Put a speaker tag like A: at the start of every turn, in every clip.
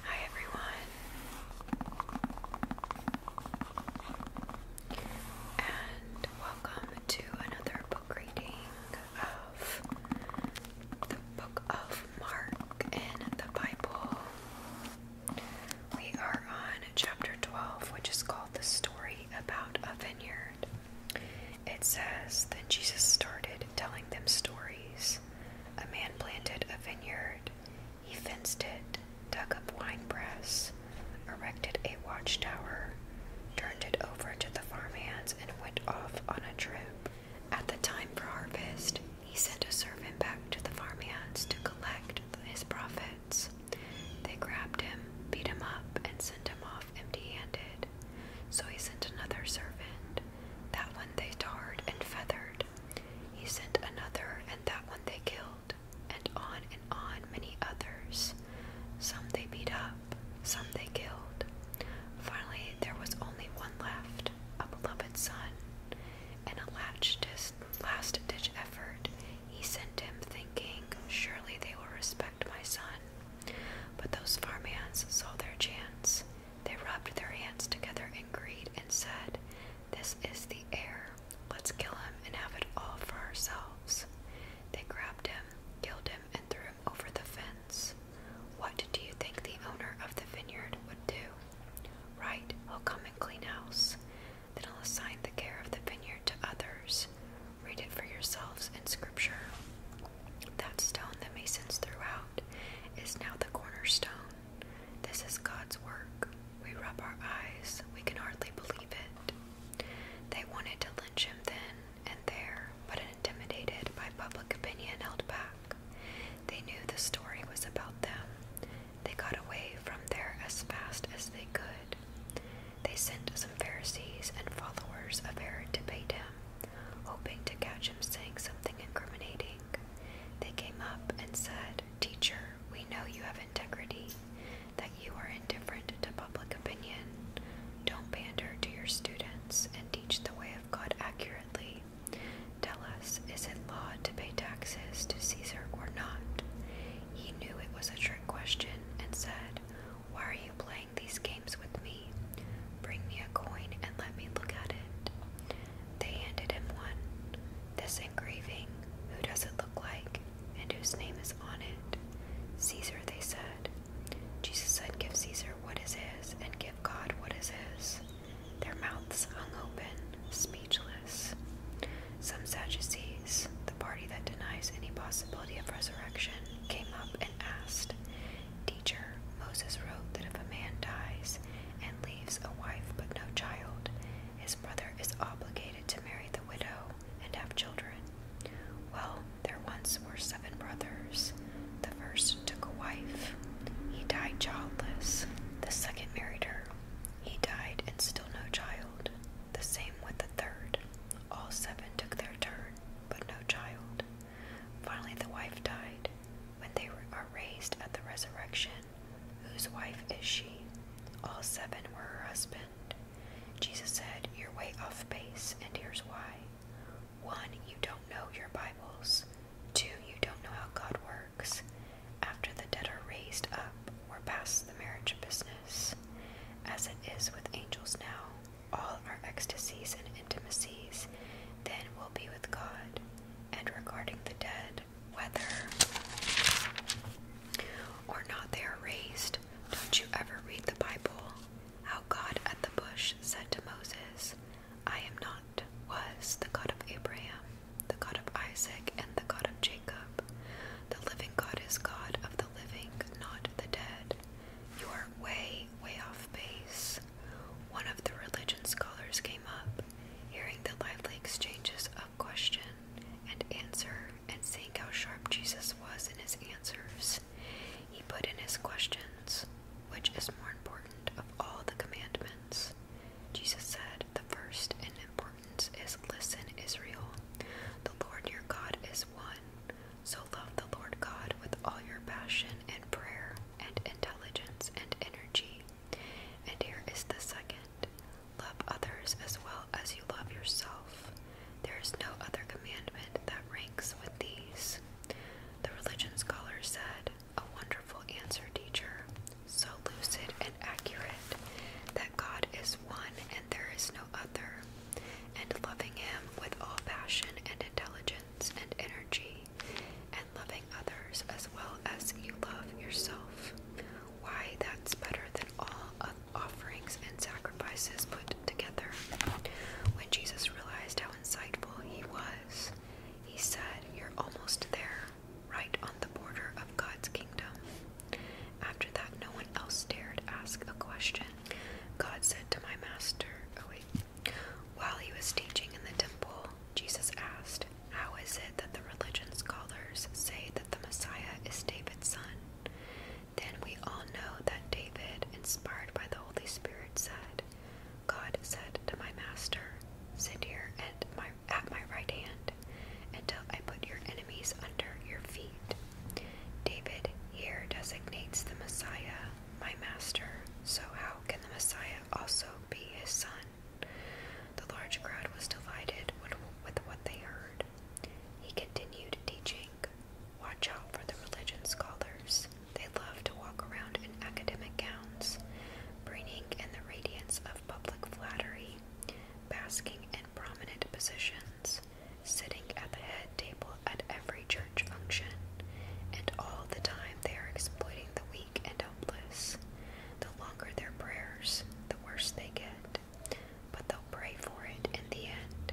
A: Hi everyone, and welcome to another book reading of the book of Mark in the Bible. We are on chapter 12, which is called The Story About a Vineyard. It says, Then Jesus started telling them stories. A man planted a vineyard, he fenced it, dug up winepress, erected a watchtower, turned it over to the farmhands, and went off on a trip. At the time for harvest, he sent a servant back to the farmhands to collect his profits. They grabbed him, beat him up, and sent him off empty handed. So he sent another servant. That one they tarred and feathered. He sent another, and that one they killed. And on and on many others. Some they beat up, some they killed. Finally, there was only one left, a beloved son. In a last ditch effort, he sent him, thinking, Surely they will respect my son. But those farm hands saw their chance. They rubbed their hands together in greed and said, This is the heir. Let's kill him and have it all for ourselves. They grabbed him, killed him, and threw him over the fence. What do you think the owner of the vineyard would do? Right, he'll come and clean house. Then I'll assign the care of the vineyard to others. Read it for yourselves in Scripture. That stone the masons threw out is now the cornerstone. This is God's work. We rub our eyes. We can hardly believe it. They wanted to lynch him then and there, but intimidated by public opinion, held back. They knew the story was about them. They got away from there as fast as they could. They sent some Pharisees and followers of Herod to bait him, hoping to catch him saying something incriminating. They came up and said, Teacher, we know you have integrity, that you are indifferent to public opinion. Don't pander to your students and teach the way of God accurately. Tell us, is it law to pay taxes to Caesar or not? He knew it was a trick question and said, why are you playing these games with me? Bring me a coin and let me look at it. They handed him one. This engraving, who does it look like, and whose name is on it? Caesar, they said. Jesus said, Give Caesar what is his, and give God what is his. Their mouths hung open, speechless. Some Sadducees, the party that denies any possibility of resurrection, came up and asked, Teacher, Moses wrote that if a man dies and leaves a wife but no child, his brother is obligated to marry the widow and have children. Well, there once were seven brothers. The first took a wife. He died childless. The second married her. He died and still no child. The same with the third. All seven took their turn, but no child. Finally, the wife died. When they are raised at the resurrection, whose wife is she? All seven were her husband. Jesus said, You're way off base, and here's why. One, you don't know your Bibles. Two, you don't know how God works. After the dead are raised up, we're past the marriage business. As it is with angels now, all our ecstasies and intimacies, then we will be with God. And regarding the dead, whether or not they are raised, don't you ever read the Bible? How God at the bush said to Moses, I am not, was the God of Abraham, the God of Isaac, and the God of Jacob. The living God is God of the living, not the dead. You are way, way off base. One of the religion scholars came up, hearing the lively exchanges of question and answer, and seeing how sharp Jesus was in his answers. He put in his questions, which is more important of all the commandments. Jesus said, The first in importance is listen, Israel. The Lord your God is one. So love the Lord God with all your passion and prayer and intelligence and energy. And here is the second love others as well as you love yourself. There is no other commandment that ranks with these. The religion scholar said, a wonderful answer, teacher, so lucid and accurate that God is one and there is no other other, and loving Him with all passion and intelligence and energy, and loving others as well as you love yourself. Why, that's better than all offerings and sacrifices put together. When Jesus realized how insightful he was, he said, You're almost there, right on the border of God's kingdom. After that, no one else dared ask a question. God said to my master, oh while he was teaching in the temple, Jesus asked, How is it that the religion scholars say that the Messiah is David's son? Then we all know that David, inspired by the Holy Spirit, said, God said to my master, Sit here at at my right hand until I put your enemies under your feet. David here designates the Messiah, my master, so how can the Messiah also be his son? The large crowd was divided with what they heard. He continued teaching. Watch out for the religion scholars. They love to walk around in academic gowns, bringing in the radiance of public flattery, basking in prominent positions sitting at the head table at every church function, and all the time they are exploiting the weak and helpless. The longer their prayers, the worse they get, but they'll pray for it in the end.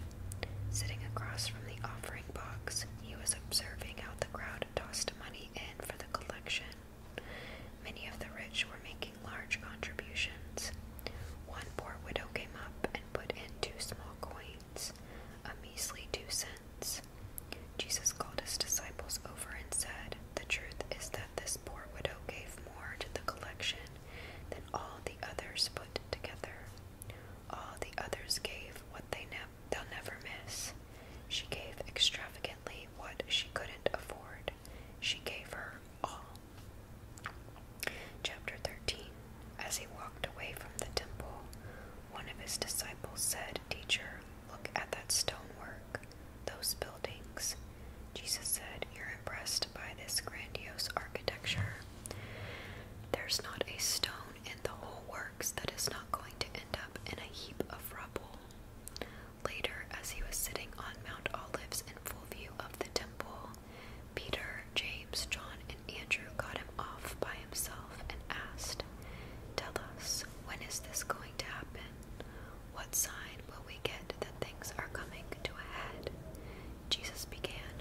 A: Sitting across from the offering box, he was observing how the crowd tossed money in for the collection. Many of the rich were making large contributions, one poor widow came up and put in two small coins, a measly two cents. Jesus called his disciples over and said, The truth is that this poor widow gave more to the collection than all the others put together. All the others gave what they ne they'll never miss. She gave extravagantly what she couldn't afford. She gave her all. Chapter 13 As he walked away from the temple, one of his disciples said, Teacher, look at that stonework, those buildings. Jesus said, You're impressed by this grandiose architecture. There's not a stone in the whole works that is not going to end up in a heap of rubble. Later, as he was sitting on Mount Olives in full view of the temple, Peter, James, John, and Andrew got him off by himself and asked, Tell us, when is this going to happen? What sign will we get that things are coming to a head? Jesus began,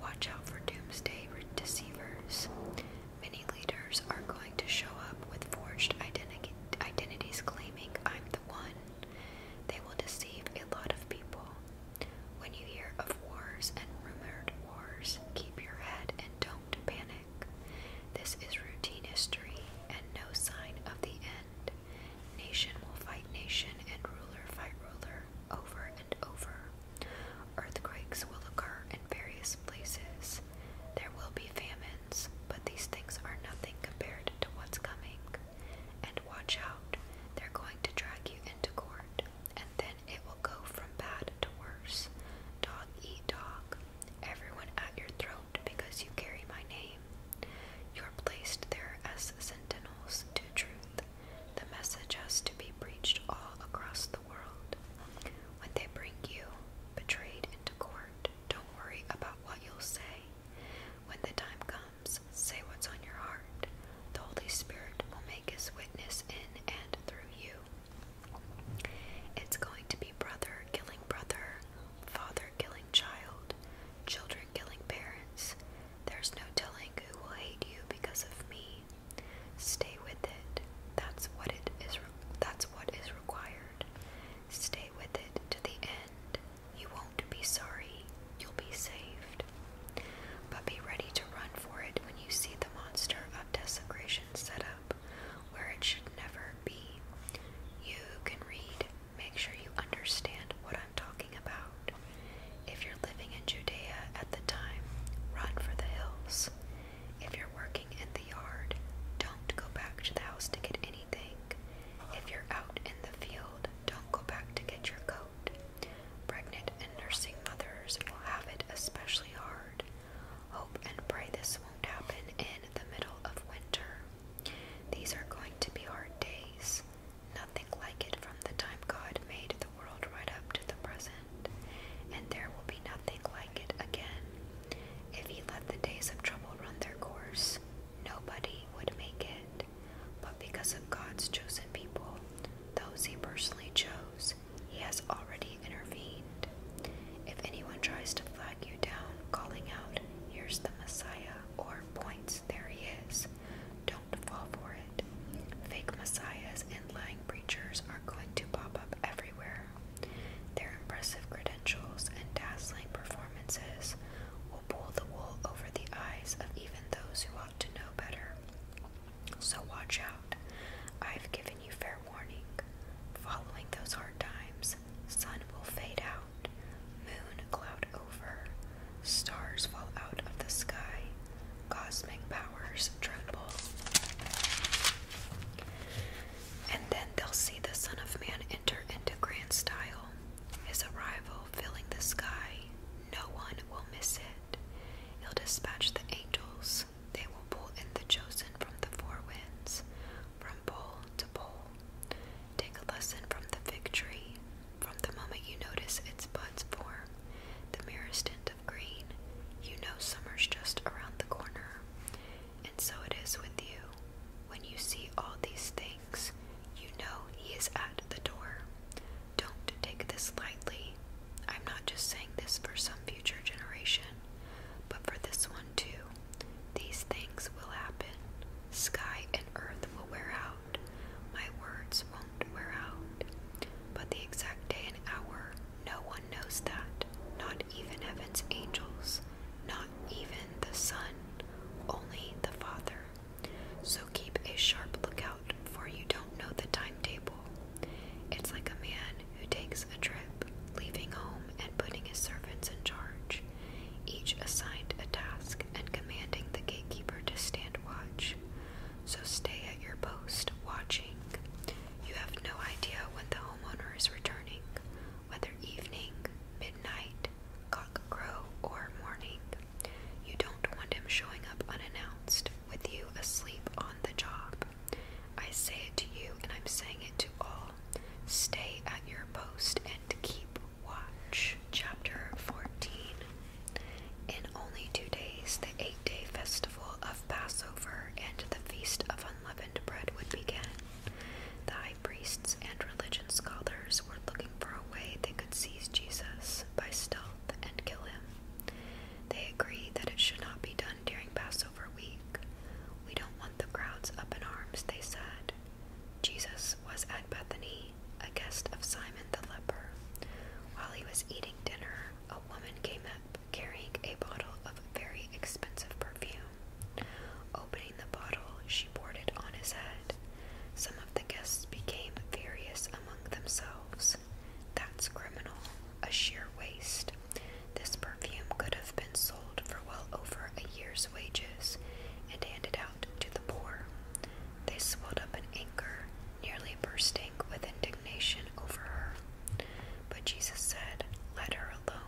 A: Watch out for doomsday deceivers. Many leaders are going to show up with forged identities claiming I'm the one. They will deceive a lot of people. When you hear of wars and rumored wars, keep your head and don't panic. This is routine history and no sign of the end. Nation will fight nation and ruler fight ruler over and over. Earthquakes will occur in various places. There will be famines, but these things are nothing compared to what's coming. And watch out, they're going to drag you into court and then it will go from bad to worse. Dog eat dog, everyone at your throat because you carry my name. You're placed there as sentinels to truth. The message has to be preached all across the world. When they bring you, betrayed, into court, don't worry about what you'll say. When the time comes, say what's on your heart. The Holy Spirit will make his witness in and through you. It's going to be brother killing brother, father killing child, children killing parents. There's no telling who will hate you because of me. Stay with it. That's what it is. That's what is required. Stay with it to the end. You won't be sorry you'll be saved. But be ready to run for it when you see the monster of desecration set up where it should never be. You can read. Make sure you understand what I'm talking about. If you're living in Judea at the time, run for the hills. If you're working in the yard, don't go back to the house to get anything. If you're out in the field, don't go back to get your coat. Pregnant and nursing mothers will have it especially hard. Hope and pray this won't happen in the middle of winter. These are going to be hard days. Nothing like it from the time God made the world right up to the present, and there will be nothing like it again. If He let the days of trouble run their course, nobody would make it but because of God's chosen people, those He personally chose, He has already intervened. If anyone tries to flag you down, calling out, Here's the Messiah, or points, There He is, don't fall for it. Fake messiahs and lying preachers are going to pop up everywhere. Their impressive credentials and dazzling performances will pull the wool over the eyes of even those who to know better. So watch out. I've given you fair warning. Following those hard times, sun will fade out, moon cloud over, stars fall out of the sky, cosmic powers tremble. And then they'll see the Son of Man enter into grand style, his arrival filling the sky. No one will miss it. He'll dispatch the angels. They will pull in the chosen from the four winds, from pole to pole. Take a lesson from the fig tree. From the moment you notice its buds form, the merest tint of green, you know summer's just around the corner. And so it is with you. When you see all these things, you know he is at the door. Don't take this lightly. I'm not just saying this for some future generation, but for this one too. These things will happen. Sky and earth will wear out. My words won't wear out. But the exact day and hour, no one knows that. Not even heaven's angels. Not even the sun. Only the Father so keep a sharp lookout, for you don't know the timetable. It's like a man who takes a trip, leaving home and putting his servants in charge, each assigned a task and commanding the gatekeeper to stand watch. So stay at your post, watching. You have no idea when the homeowner is returning, whether evening, midnight, cockcrow, or morning. You don't want him showing up unannounced, with you asleep on the job. I say it to you, and I'm saying it to all. Stay at your post and keep watch. Chapter 14 In only two days, the eight day festival of Passover and the Feast of Unleavened Bread would begin. The high priests and religion scholars were looking for a way they could seize Jesus by stealth and kill him. They agreed that it should not be done during Passover week. We don't want the crowds up in arms, they said. Jesus was at Bethany, a guest of Simon the leper. While he was eating dinner, a woman came up carrying a bottle of very expensive perfume. Opening the bottle, she poured it on his head. Some the guests became furious among themselves. That's criminal, a sheer waste. This perfume could have been sold for well over a year's wages and handed out to the poor. They swelled up in anger, nearly bursting with indignation over her. But Jesus said, Let her alone.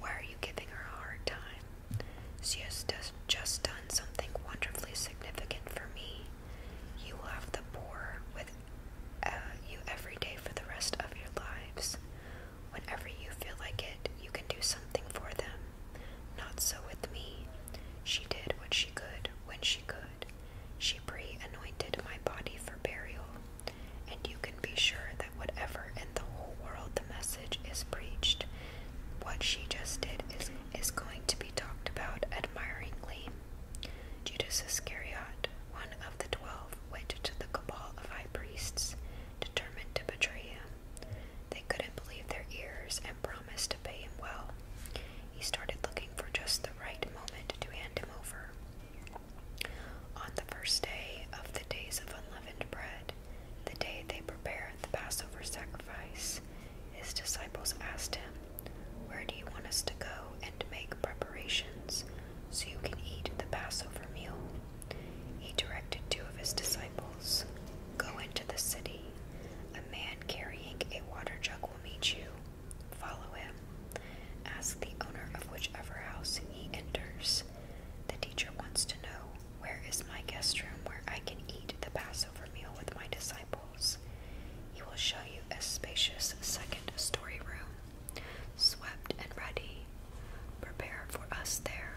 A: Why are you giving her a hard time? She has just done something wonderfully significant for me, you will have the poor with uh, you every day for the rest of your lives. Whenever you feel like it, you can do something for them. Not so with me. She did what she could when she could. She pre anointed my body for burial. And you can be sure that whatever in the whole world the message is preached, what she just did is is going to be talked about admiringly. Judas Iscariot, one of the twelve, went to the cabal of high priests, determined to betray him. They couldn't believe their ears and promised to pay him well. He started looking for just the right moment to hand him over. On the first day of the days of unleavened bread, the day they prepare the Passover sacrifice, his disciples asked him, Where do you want us to go and make preparations so you can eat the Passover meal? He directed two of his disciples, Go into the city. A man carrying a water jug will meet you. Follow him. Ask the owner of whichever house he enters. The teacher wants to know where is my guest room where I can eat the Passover meal with my disciples. He will show you a spacious second story room, swept and ready. Prepare for us there.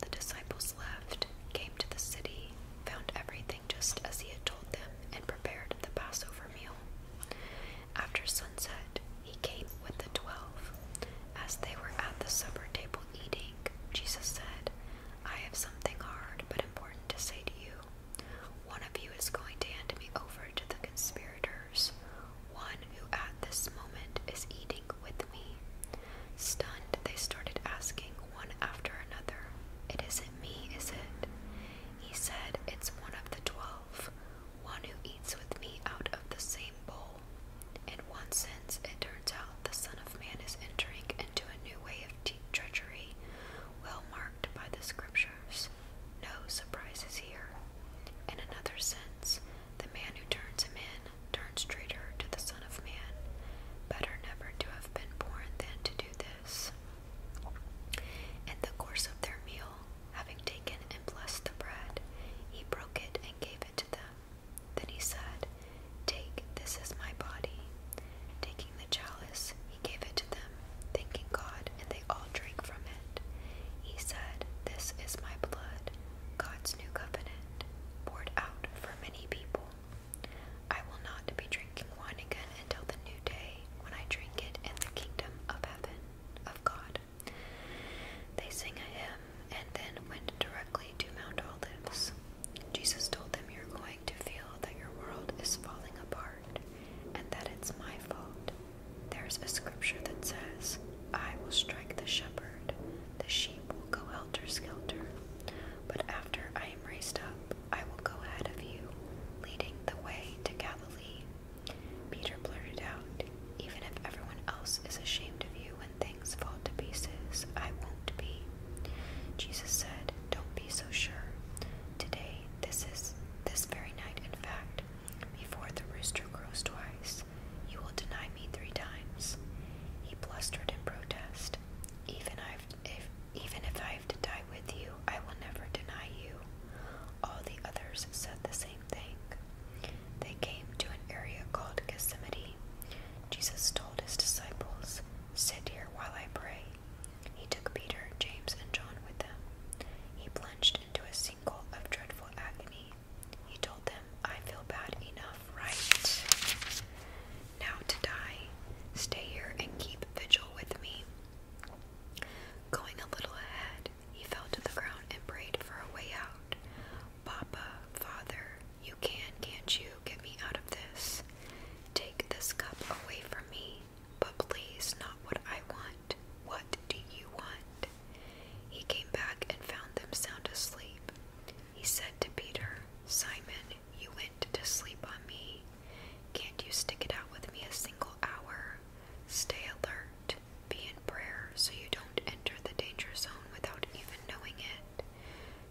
A: The disciples left, came to the city, found everything just as he had told them, and prepared the Passover meal. After sunset, he came with the twelve. As they were at the supper table eating, Jesus said, I have something hard but important to say to you. One of you is going to hand me over to the conspirators, one who at this moment is eating with me. Stunned, they started asking one after another, It isn't me, is it? He said, It's one of the twelve, one who eats with me out of the same bowl. In one sense, it turns out the Son of Man is entering to a new way of treachery, well marked by the Scriptures. No surprises here. In another sense, the man who turns a man turns traitor to the Son of Man. Better never to have been born than to do this. In the course of their meal, having taken and blessed the bread, he broke it and gave it to them. Then he said, Take, this is my body. Taking the chalice, he gave it to them, thanking God, and they all drank from it. He said, This is my blood, God's new covenant, poured out for many people. I will not be drinking wine again until the new day when I drink it in the kingdom of heaven, of God. They sang a hymn and then went directly to Mount Olives. Jesus told them, You're going to feel that your world is falling apart and that it's my fault. There's a scripture that says, I will strike the shepherd, the sheep will go helter skelter. But after I am raised up, I will go ahead of you, leading the way to Galilee. Peter blurted out, Even if everyone else is ashamed of you when things fall to pieces, I won't to be. Jesus said, Don't be so sure. Today, this is this very night, in fact, before the rooster crows twice, you will deny me three times. He blustered in protest. Even i if even if I have to die with you, I will never deny you. All the others said the same thing. They came to an area called Gethsemane. Jesus told his disciples, Sit here while I pray. He took Peter, James, and John with him. He plunged into a sinkhole of dreadful agony. He told them, I feel bad enough, right? Now to die. Stay here and keep vigil with me. Going a little ahead, he fell to the ground and prayed for a way out. Papa, Father, you can, can't you? get me out of this. Take this cup away from me, but please not what I want. What do you want? He came back and found them sound asleep. He said to Peter, Simon, you went to sleep on me. Can't you stick it out with me a single hour? Stay alert, be in prayer so you don't enter the danger zone without even knowing it.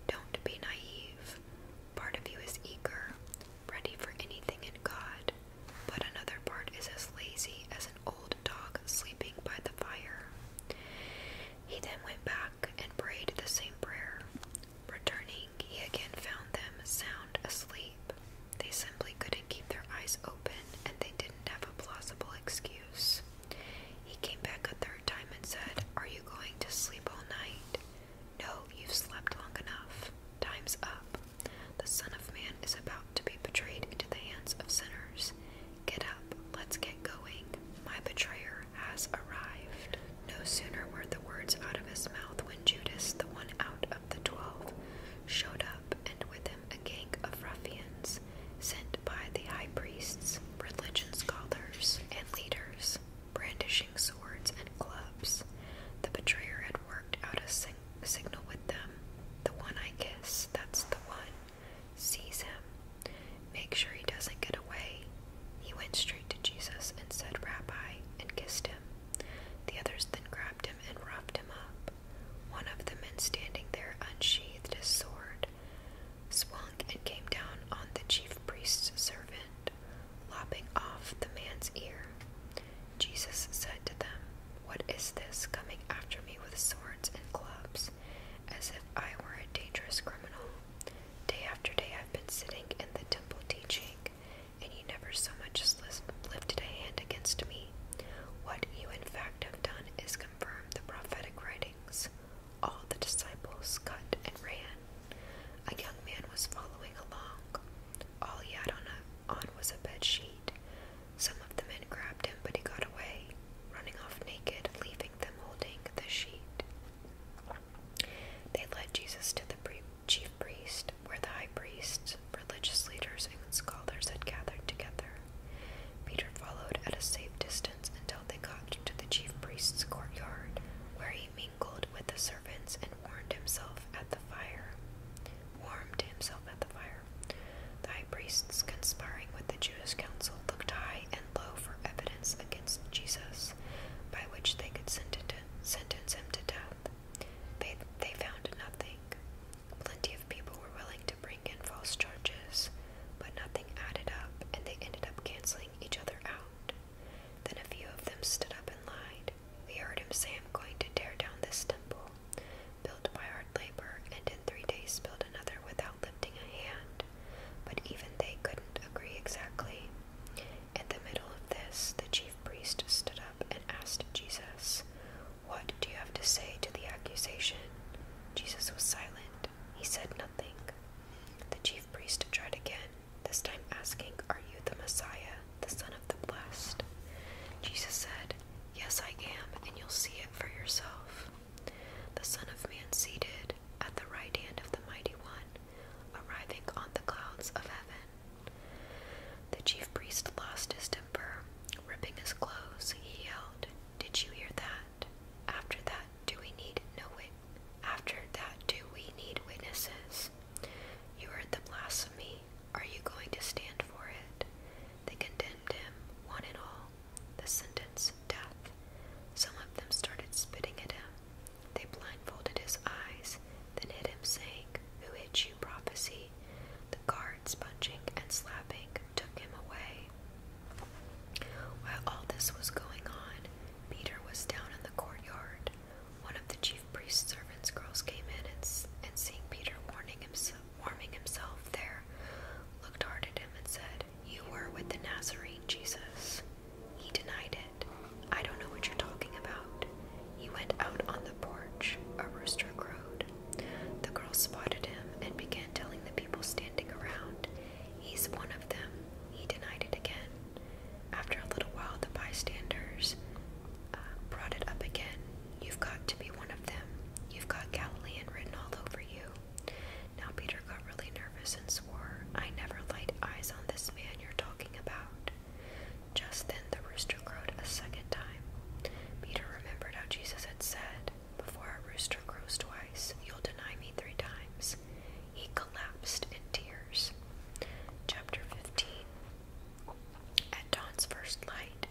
A: Don't be naive. Part of you is eager, ready for anything in God, but another part is as lazy as an old dog sleeping by the fire. He then went back and prayed the same prayer. Returning, he again found them sound asleep. They simply couldn't keep their eyes open, and they didn't have a plausible excuse. He came back a third time and said, Are you going to sleep all night? No, you've slept long enough. Time's up. The Son of Man is about to be betrayed into the hands of sinners. Get up, let's get going. My betrayer has arrived. No sooner were the words out of his mouth when Judas, the one out of the twelve, showed up, and with him a gang of ruffians sent by the high priests, religion scholars, and leaders brandishing swords and clubs. The betrayer had worked out a signal with them. The one I kiss, that's the one. Seize him. Make sure he doesn't get away. He went straight to Jesus and said, Rabbi, and kissed him. The others then grabbed him and roughed him up. One of the men standing there unsheathed his sword, swung, and came down on the chief priest's servant lopping off the man's ear. Jesus said to them, What is this coming after me with swords and clubs, as if I were a dangerous criminal? Day after day I've been sitting in the temple teaching, and you never so much as lifted a hand against me. What you in fact have done is confirm the prophetic writings. All the disciples cut and ran. A young man was following along. All he had on, a, on was a bed sheet. Some of the men grabbed him, but he got away, running off naked, leaving them holding the sheet. They led Jesus to the chief priest, where the high priests, religious leaders, and scholars had gathered together. Peter followed at a safe distance until they they got to the chief priest's courtyard, where he mingled with the servants and warmed himself at the fire. Warmed himself at the fire. The high priests, conspiring with the Jewish council, looked high and low for evidence against Jesus, by which they could sentence him to death. They, they found nothing. Plenty of people were willing to bring in false charges, but nothing added up, and they ended up canceling each other out. Then a few of them stood up and lied. We heard him say, I'm going to tear down this temple, built by hard labor, and in three days build another without lifting a hand. But even they couldn't agree exactly. In the middle of this, the chief priest stood up and asked Jesus, What do you have to say to the accusation? Jesus was silent. He said nothing. The chief chief priest tried again, this time asking, Are you the Messiah, the Son of the Blessed? Jesus said, Yes, I am, and you'll see it for yourself. The Son of Man seated at the right hand of the Mighty One, arriving on the clouds of heaven. The chief priest lost his temper. Ripping his clothes, he yelled, Did you hear that? After that, do we need no witness? After that, do we need witnesses? You heard the blasphemy. Are you going to stand for it? They condemned him, one and all. The sentence, death. Some of them started spitting at him. They blindfolded his eyes, then hit him, saying, Who hit you, prophecy? The guards, punching and slapping, took him away. While all this was going on, Peter was down in the courtyard. One of the chief priest's servants' girls came in and, and seeing Peter warming himself there, looked hard at him and said, You were with the Nazarene Jesus. He denied it. I don't know what you're talking about. He went out on the porch. A rooster crowed. The girls spotted him and began telling the people standing around, He's one of them he denied it again. After a little while, the bystanders uh, brought it up again. You've got to be one of them. You've got Galilean written all over you. Now Peter got really nervous and swore, I never laid eyes on this man you're talking about. Just then the rooster crowed a second time. Peter remembered how Jesus had said, Before a rooster crows twice, you'll deny me three times. He collapsed in tears. Chapter 15 At dawn's first light,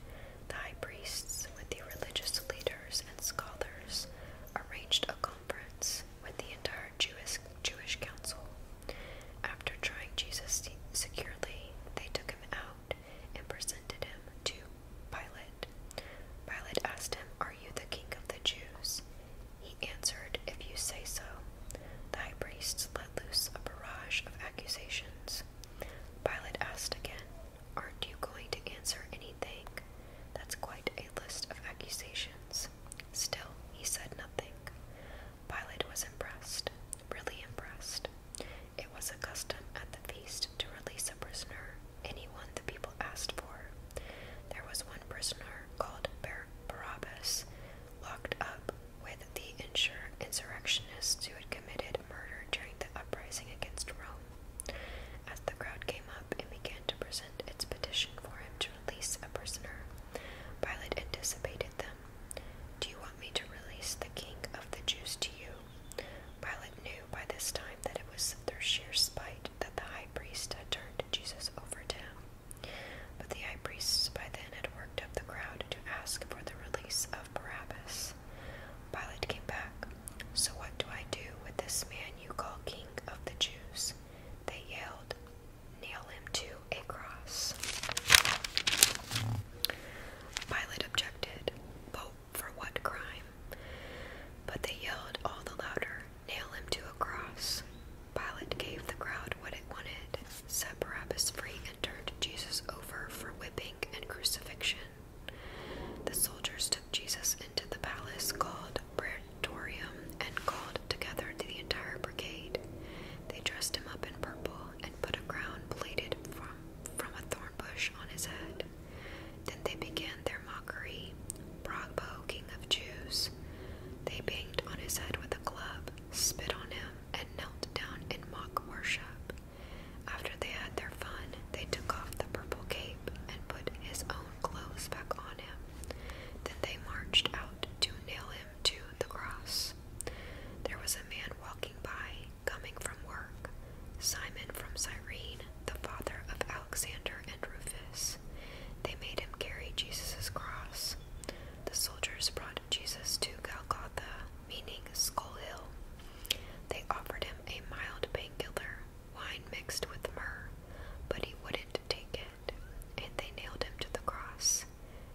A: the high priests, with the religious leaders and scholars, arranged a conference with the entire Jewish, Jewish council. After trying Jesus securely, they took him out and presented him to Pilate. Pilate asked him, Are you the king of the Jews? He answered, If you say so. The high priests let loose a barrage of accusations. Pilate asked again, Aren't you going to answer anything? That's quite a list of accusations. Still, he said nothing. Pilate was impressed, really impressed. It was a custom at the feast to release a prisoner, anyone the people asked for. There was one prisoner called Barabbas locked up with the insurrectionists who had committed murder during the uprising against Rome. As the crowd came up and began to present its petition for him to release a prisoner, Pilate anticipated them. Do you want me to release the king of the Jews to you? Pilate knew by this time that it was through sheer spite that the high priest had turned Jesus over to him. But the high priests by then had worked up the crowd to ask for the release of Barabbas. Pilate came back. So what do I do with this man you call king of the Jews? They yelled, Nail him to a cross. Pilate objected, But for what crime? But they yelled all the louder, Nail him to a cross. Pilate gave the crowd what it wanted, set Barabbas free, and turned Jesus over for whipping and crucifixion. The soldiers took Jesus into the palace called Praetorium and called together the entire brigade. They dressed him up in purple and put a crown plaited from, from a thorn bush on his head. Then they began their mockery Bragbo, king of Jews. They banged on his head with a club, spit on him, and knelt down in mock worship. After they had their fun, they took off the purple cape and put his own clothes back on him. Then they marched out to nail him to the cross. There was a man walking by, coming from work, Simon from Cyrene, the father of Alexander and Rufus. They made him carry Jesus' cross. The soldiers brought Jesus to Golgotha, meaning Skull Hill. They offered him a mild painkiller, wine mixed with myrrh, but he wouldn't take it, and they nailed him to the cross.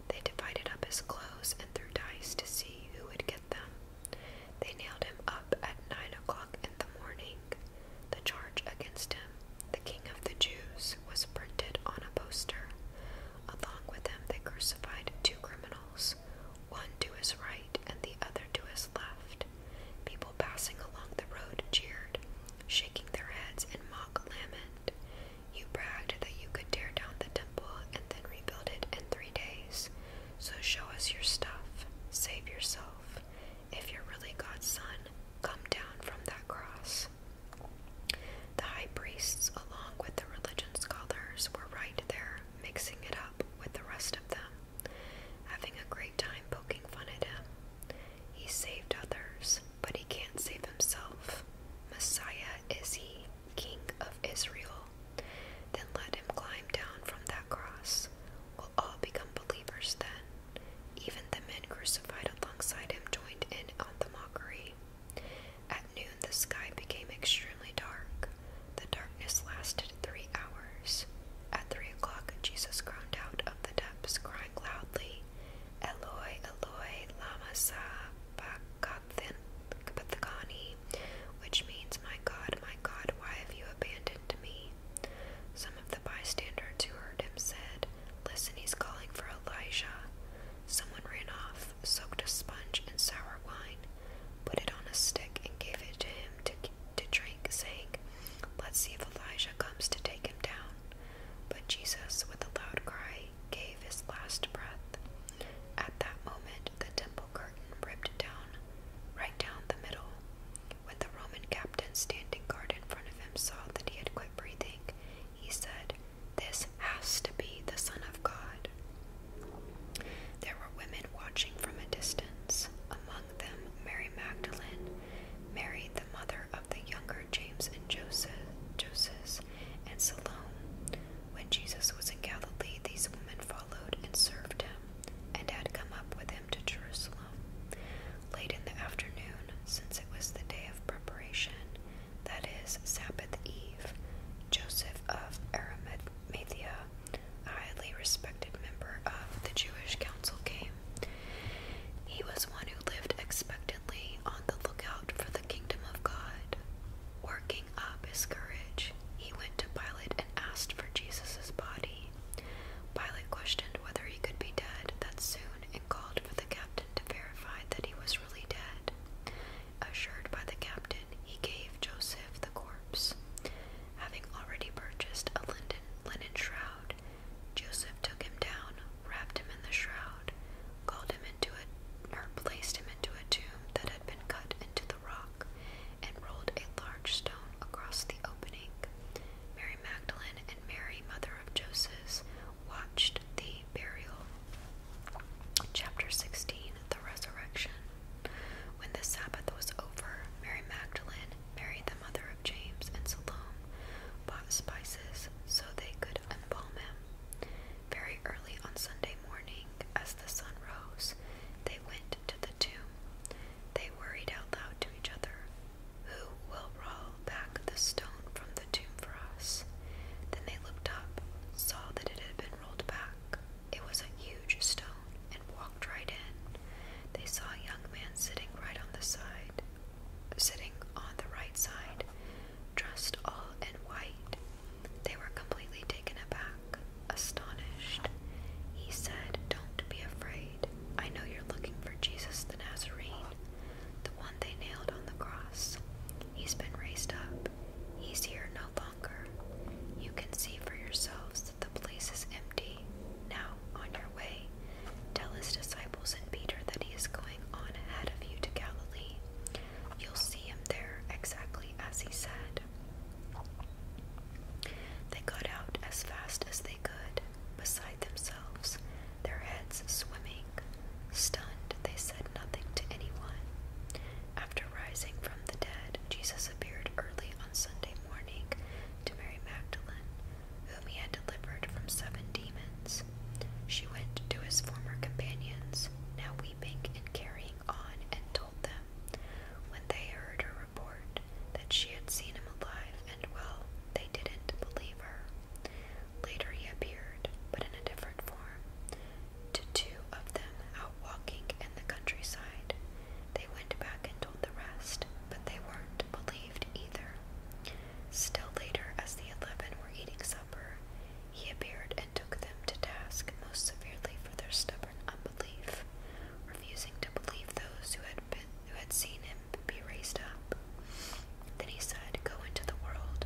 A: They divided up his clothes and threw dice to see who would get them. They nailed him up at nine o'clock in the morning. The charge against him the King of the Jews was printed on a poster. Along with him, they crucified two criminals, one to his right and the other to his left. People passing along the road cheered, shaking their heads in mock lament. You bragged that you could tear down the temple and then rebuild it in three days. So show us your stuff. Save yourself. If you're really God's son, come down from that cross. The high priests, along with the religion scholars, were right there, mixing it up with the rest of them, having a great time poking fun at him. He saved others, but he can't save himself. Messiah is he, King of Israel. Then let him climb down from that cross. We'll all become believers then. Even the men crucified alongside him joined in on the mockery. At noon, the sky became extremely dark. The darkness lasted three hours. At three o'clock, Jesus groaned out of the depths, crying loudly, Eloi, Eloi, lama sabachthani, which means, My God, my God, why have you abandoned me? Some of the bystanders who heard him said, Listen, he's calling for Elijah. Someone ran off, soaked a sponge in sour wine, put it on a stick, and gave it to him to, drink, saying, Let's see if Elijah comes to take him down. But Jesus, with a loud cry, gave his last breath. At that moment, the temple curtain ripped down, right down the middle. When the Roman captain standing guard in front of him saw that he had breathing, he said, This has to be the Son of God. There were women watching from a distance, among them Mary Magdalene, Mary the mother of the younger James and Joseph, Joseph and Salome. When Jesus was in Galilee, these women followed and served him, and had come up with him to Jerusalem. Late in the afternoon, since it was the day of preparation, that is, Sabbath Eve, Joseph of Arimathea, a highly respected member of the Jewish council, came. He was one who lived expectantly on the lookout for the kingdom of God. Working up his courage, he went to Pilate and asked for Jesus' body. Pilate questioned whether he could be dead that soon called for the captain to verify that he was really dead. Assured by the captain, he gave Joseph the corpse. Having already purchased a linen, shroud, Joseph took him down, wrapped him in the shroud, called him into a, placed him into a tomb that had been cut into the rock, and rolled a large stone across the opening. Mary Magdalene and Mary, mother of Josephs watched the burial. Chapter 16 The Resurrection. When the Sabbath was over, Mary Magdalene, Mary the mother of James, and Salome bought spices so they could embalm him. Very early on Sunday morning, as the sun rose, they went to the tomb. They worried out loud to each other, who will roll back the stone from the tomb for us? Then they looked up, saw that it had been rolled back. It was a huge stone, and walked right in. They saw a young man sitting right on the side, sitting on the right side, dressed all in white. They were completely taken aback, astonished. He said, Don't be afraid. I know you're looking for Jesus the Nazarene, the one they nailed on the cross. He's been raised up. He's here no longer. You can see for yourselves that the place is empty. Now, on your way, tell his disciples and Peter that he is going on ahead of you to Galilee. You'll see him there exactly as he said. They got out as fast as they they beside themselves, their heads swimming. Stunned, they said nothing to anyone. After rising from the dead, Jesus appeared early on Sunday morning to Mary Magdalene, whom he had delivered from seven demons. She went to his former companions, now weeping and carrying on, and told them, when they heard her report, that she had seen him alive and well, they didn't believe her. Later he appeared, but in a different form, to two of them out walking in the countryside. They went back and told the rest, but they weren't believed either. Still later, as the eleven were eating supper, he appeared and took them to task most severely for their stubborn unbelief, refusing to believe those who had been who had seen him be raised up. Then he said, Go into the world,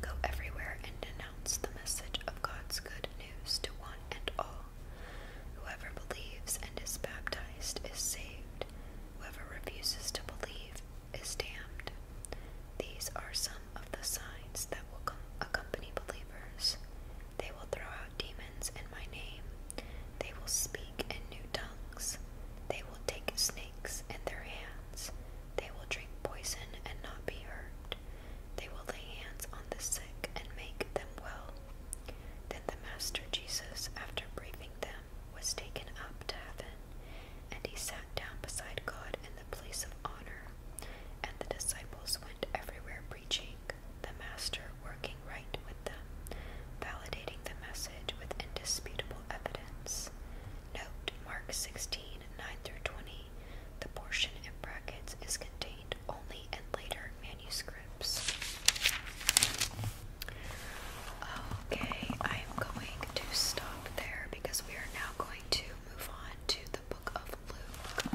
A: go everywhere, and announce the message of God's good news to one and all. Whoever believes and is baptized is saved, whoever refuses to believe is damned. These are some of the signs that will accompany believers. They will throw out demons in my name. They will speak in new tongues. They will take snakes in their hands. They will drink poison and not be hurt. They will lay hands on the sick and make them well. Then the Master Jesus, after briefing them, was taken up to heaven, and he sat down beside God in the place of honor. And the disciples went everywhere preaching, the Master working with validating the message with indisputable evidence. Note Mark 16, through 20. The portion in brackets is contained only in later manuscripts. Okay, I am going to stop there because we are now going to move on to the book of Luke.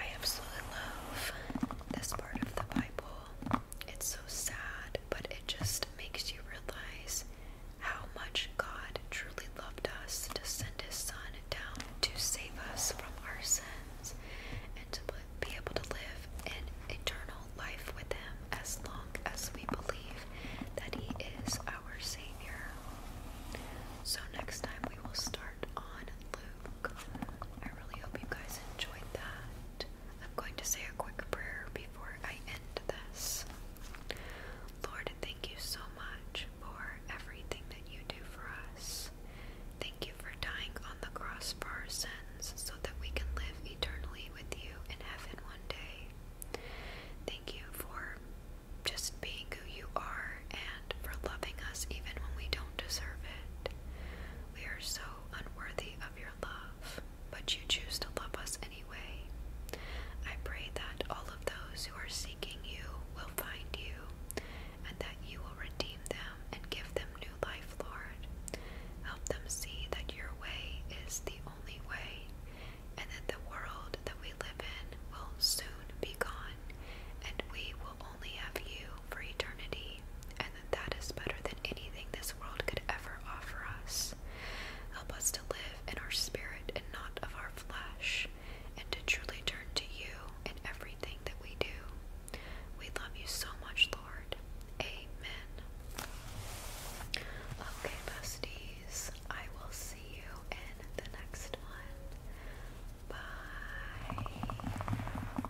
A: I absolutely love this part of the Bible. It's so sad, but it just makes you realize how much God truly loved us to send His Son down to save us from our sins and to be able to live an eternal life with Him as long as we believe that He is our Savior. So, next time we will start on Luke. I really hope you guys enjoyed that. I'm going to say a quick prayer before I end this. Lord, thank you so much for everything that you do for us. Thank you for dying on the cross for our sins so that we can live eternally with you in heaven one day. Thank you for just being who you are and for loving us even when we don't deserve it. We are so unworthy of your love but you choose to love us anyway. I pray that all of those who are seeking you will find you, and that you will redeem them and give them new life, Lord. Help them see that your way is the only way, and that the world that we live in will soon be gone, and we will only have you for eternity that is better than anything this world could ever offer us. Help us to live in our spirit and not of our flesh, and to truly turn to you in everything that we do. We love you so much, Lord. Amen. Okay, besties, I will see you in the next one. Bye.